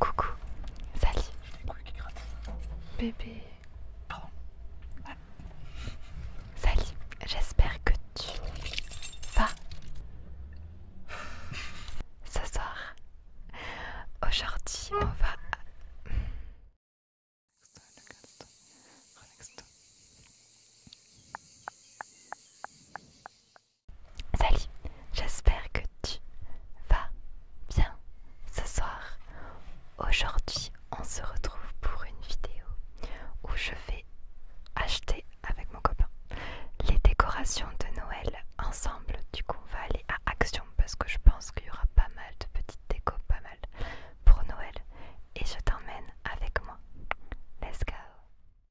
Coucou. Salut. Bébé. Pardon. Salut. J'espère que tu vas ce soir. Aujourd'hui, on va. Salut, j'espère que tu vas bien ce soir. Aujourd'hui, on se retrouve pour une vidéo où je vais acheter avec mon copain les décorations de Noël ensemble. Du coup, on va aller à Action parce que je pense qu'il y aura pas mal de petites décos, pas mal pour Noël. Et je t'emmène avec moi. Let's go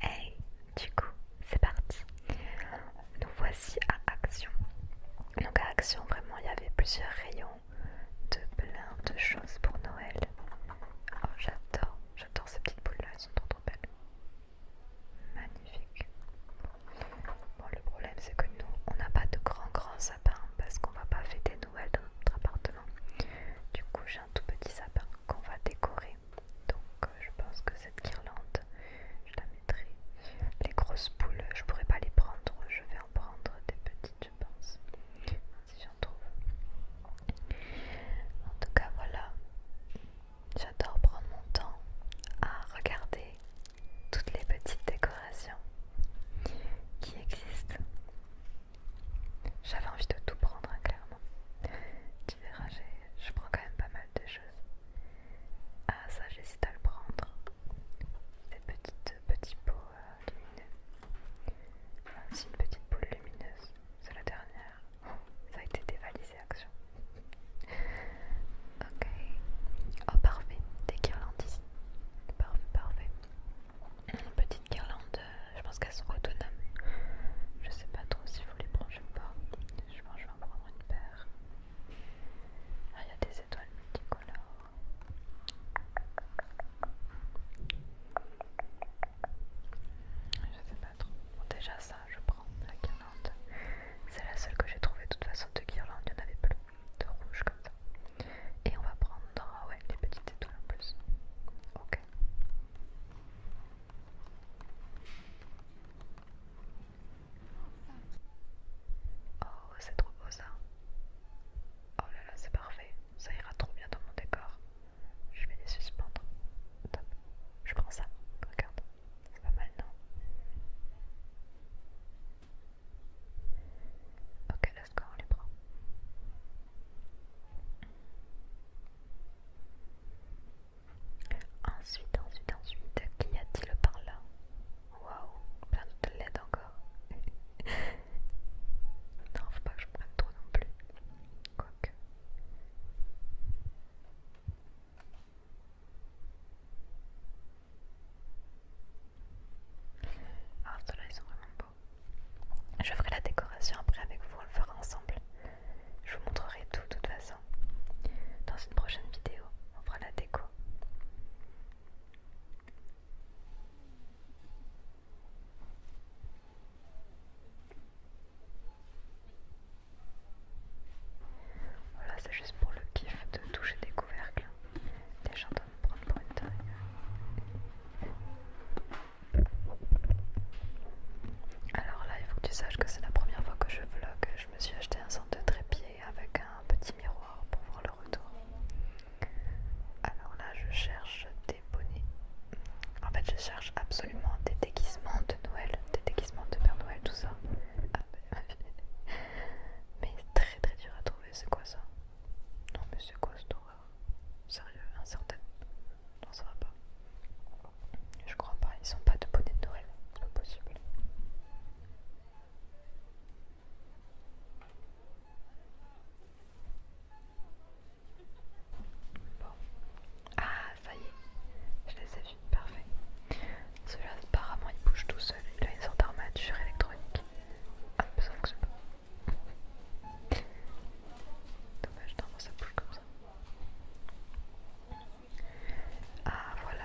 Hey, du coup, c'est parti. Nous voici à Action. Donc à Action, vraiment, il y avait plusieurs rayons de plein de choses pour Noël. Oh, j'adore, j'adore ces petites boules là, elles sont trop trop belles. Magnifique. Bon, le problème c'est que nous, on n'a pas de grand grand sapin parce qu'on va pas fêter Noël dans notre appartement. Du coup, j'ai un tout petit sapin qu'on va décorer. Donc, euh, je pense que cette guirlande, je la mettrai. Les grosses boules, je pourrais pas les prendre, je vais en prendre des petites je pense. Si j'en trouve. En tout cas, voilà. J'adore prendre mon temps à regarder toutes les petites décorations qui existent. J'avais envie de tout prendre, hein, clairement. Tu verras, je prends quand même pas mal de choses. Ah, ça, j'hésite à le prendre. les petites, petits pots c'est une petite boule lumineuse, c'est la dernière. Ça a été dévalisé, action. Ok. Oh, parfait, des guirlandes ici. Parfait, parfait. Une petite guirlande, euh, je pense qu'elles sont autonomes. Je sais pas trop s'il faut les brancher ou pas. Je pense que je vais en prendre une paire. Ah, il y a des étoiles multicolores. Je sais pas trop. déjà, ça, je prends la guirlande. C'est la seule que j'ai trouvé de toute façon de guirlande, il y en avait plus de rouge comme ça. Et on va prendre ah les petites étoiles en plus. Ok. Oh, c'est trop beau ça. Oh là là, c'est parfait, ça ira trop bien dans mon décor. Je vais les suspendre. Je prends ça. Regarde. C'est pas mal, non Ok, laisse score, on les prend. Ensuite, ensuite, ensuite, qu'y a-t-il par là Waouh, plein de LED encore. non, faut pas que je prenne trop non plus. Quoique. Ah, ceux-là ils sont vraiment beaux. Je ferai la décoration après avec vous, on le fera ensemble. Je vous montrerai tout de toute façon. Dans une prochaine vidéo, on fera la déco. Voilà, c'est juste pour le kiff de toucher des couvercles. Déjà, on me prendre pour une taille. Alors là, il faut que tu saches que c'est la première fois que je vlog. Je me suis acheté un centre de trépied avec un petit miroir pour voir le retour. Alors là, je cherche des bonnets. En fait, je cherche absolument des déguisements de Noël, des déguisements de Père Noël, tout ça. Ah, mais très très dur à trouver, c'est quoi ça Non mais c'est quoi ce horreur Sérieux, incertain Non ça va pas. Je crois pas, ils sont pas de bonnets de Noël, impossible possible. Bon. Ah, ça y est, je les ai vus, parfait. Celui-là, apparemment, il bouge tout seul. Il a une sorte d'armature électronique. Ah, ça fonctionne pas. Dommage, normalement ça bouge comme ça. Ah, voilà,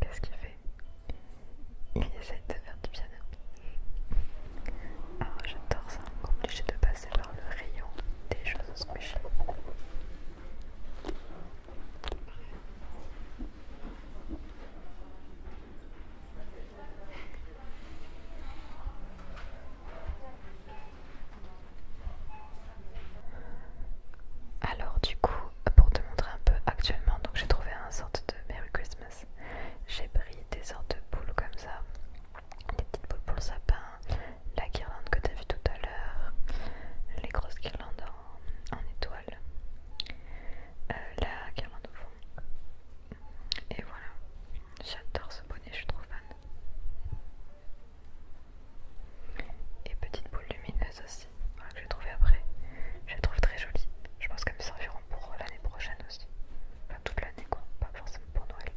Qu'est-ce qu'il fait Il essaie de faire du piano. Alors ah, j'adore ça, obligé de passer par le rayon des choses squishy. Alors du coup, pour te montrer un peu actuellement, donc j'ai trouvé un sorte de Merry Christmas. J'ai pris des sortes de boules comme ça, des petites boules pour le sapin, la guirlande que t'as vu tout à l'heure, les grosses guirlandes en, étoile, euh, la guirlande au fond, et voilà, j'adore ce bonnet, je suis trop fan. Et petite boule lumineuse aussi, que j'ai trouvé après. Je la trouve très jolie. Je pense qu'elles me serviront pour l'année prochaine aussi. Enfin toute l'année quoi, pas forcément pour Noël.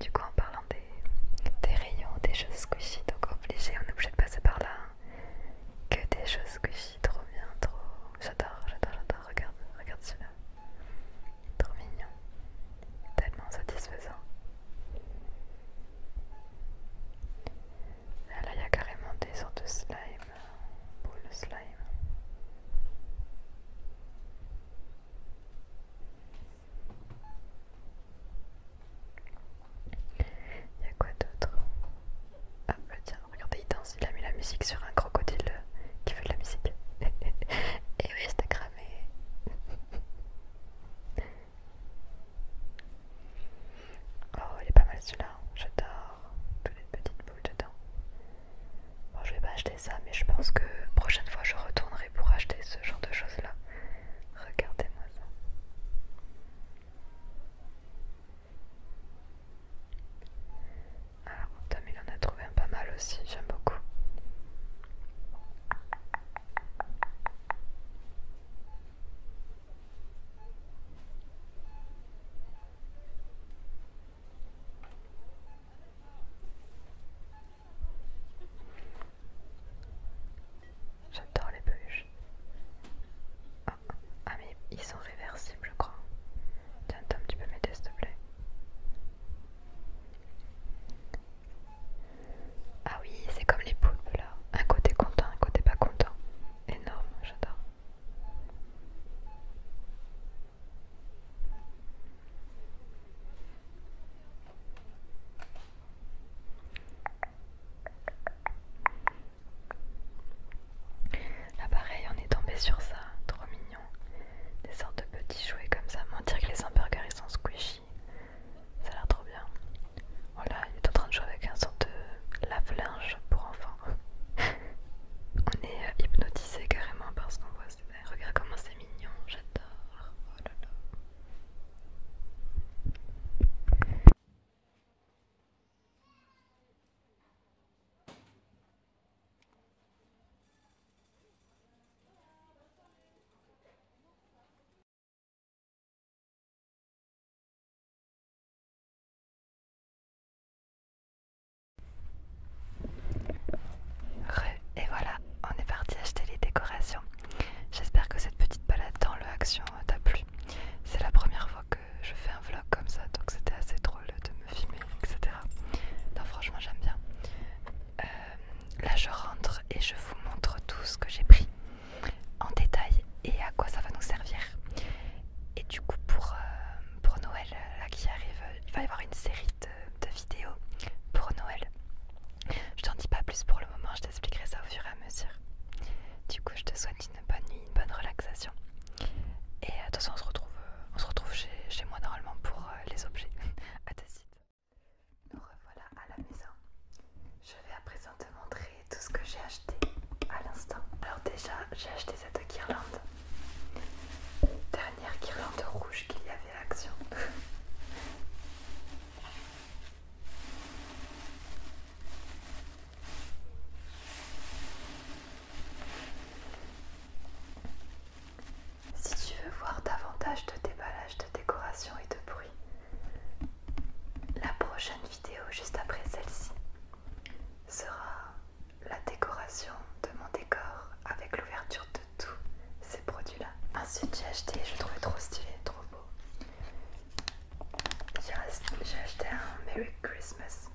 Du coup en parlant des, rayons, des choses squishy, donc obligé, on est obligé de passer par là. Hein. Que des choses squishy trop bien, trop. J'adore, j'adore, j'adore. Regarde, regarde celui-là. Trop mignon. Tellement satisfaisant. Ah, là, il y a carrément des sortes de slime. boule slime. Il y a quoi d'autre Ah, tiens. Regardez, il danse, il a mis la musique sur un crocodile euh, qui fait de la musique. Et oui, c'était cramé. Oh, il est pas mal celui-là, hein. j'adore. Toutes les petites boules dedans. Bon, je vais pas acheter ça, mais je pense que prochaine fois je retournerai pour acheter ce genre de choses-là. Regardez-moi ça. Alors ah, il en a trouvé un pas mal aussi, j'aime beaucoup. J'adore les peluches. Ah mais ils sont réversibles je crois. Tiens Tom tu peux m'aider s'il te plaît. Ah oui c'est comme les poules là. Un côté content, un côté pas content. Énorme, j'adore. Là pareil on est tombé sur ça, trop mignon. Des sortes de petits jouets comme ça. Mentir que les hamburgers ils sont squishy. Ça a l'air trop bien. Voilà, il est en train de jouer avec un sorte de lave-linge pour enfants. on est euh, hypnotisé carrément par ce qu'on voit. Regarde comment c'est mignon, j'adore. Oh et voilà, on est parti acheter les décorations. J'espère que cette petite balade dans le Action t'a plu. C'est la première fois que je fais un vlog comme ça, donc c'était assez drôle de me filmer, etc. Non, franchement, j'aime bien. Euh, là, je rentre et je vous montre tout ce que j'ai pris en détail et à quoi ça va nous servir. Et du coup, euh, pour, Noël, là qui arrive, il va y avoir une série de, de vidéos pour Noël. Je t'en dis pas plus pour le moment, je t'expliquerai ça au fur et à mesure. Du coup, je te souhaite une bonne nuit une bonne relaxation. Et euh, de toute façon, on se retrouve, euh, on se retrouve chez, moi normalement pour euh, les objets. à ta suite. Nous revoilà à la maison. Je vais à présent te montrer tout ce que j'ai acheté à l'instant. Alors, déjà, j'ai acheté cette guirlande. Dernière guirlande rouge qu'il y avait à l'action. Si tu veux voir davantage de déballage, de décoration et de bruit, la prochaine vidéo juste après celle-ci sera la décoration de mon décor avec l'ouverture de tous ces produits-là. Ensuite j'ai acheté, je trouvais trop stylé, trop beau, j'ai acheté un Merry Christmas.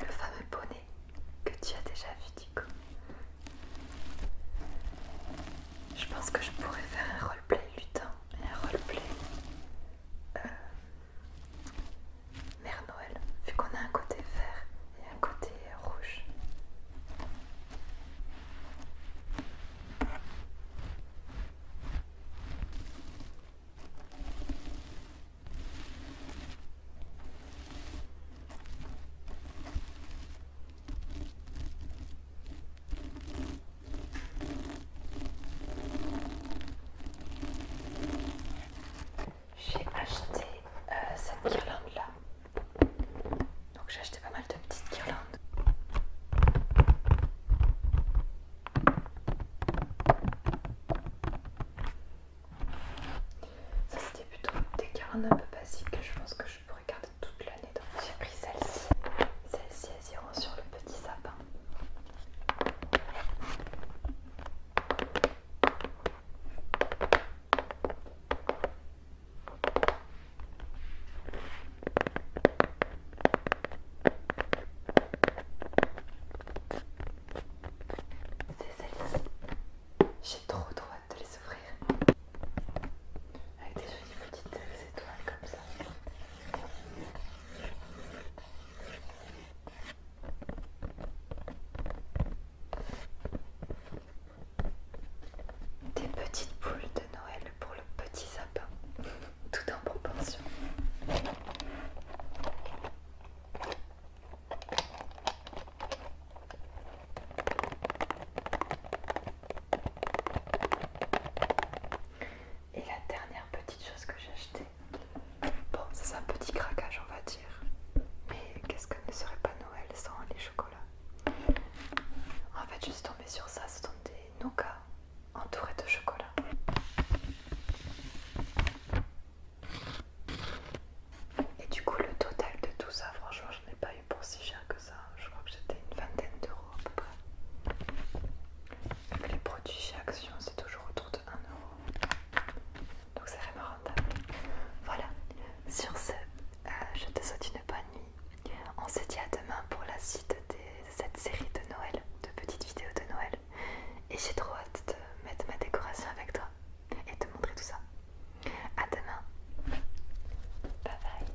Le fameux bonnet que tu as déjà vu je pense que je pourrais faire un roleplay lutin et un roleplay euh, Mère Noël, vu qu'on a un côté vert et un côté rouge. J'ai acheté euh, cette guirlande là. Donc j'ai acheté pas mal de petites guirlandes. Ça c'était plutôt des carnes un peu basiques que je pense que je pourrais garder toute l'année. Donc j'ai pris celle-ci. Celle-ci elles iront sur le petit sapin. C'est celle-ci. J'ai trop trop hâte de les ouvrir. Avec des jolies petites étoiles comme ça. Des petites boules de Noël pour le petit sapin, tout en proportion. Et la dernière petite chose que j'ai acheté, bon, c'est un petit craquage, on va dire. Mais qu'est-ce que ne serait pas Noël sans les chocolats En fait, je suis tombée sur ça, ce sont des nougats entourés de chocolat. Et du coup, le total de tout ça, franchement, je n'ai pas eu pour si cher que ça. Je crois que c'était une vingtaine d'euros à peu près. les produits chez Action, c'est toujours autour de 1 euro. Donc c'est vraiment rentable. Voilà, sur ce, euh, je te souhaite une bonne nuit. On se dit à demain pour la suite de cette série de Noël, de petites vidéos de Noël. Et j'ai trop hâte de mettre ma décoration avec toi et te montrer tout ça. À demain. Bye bye.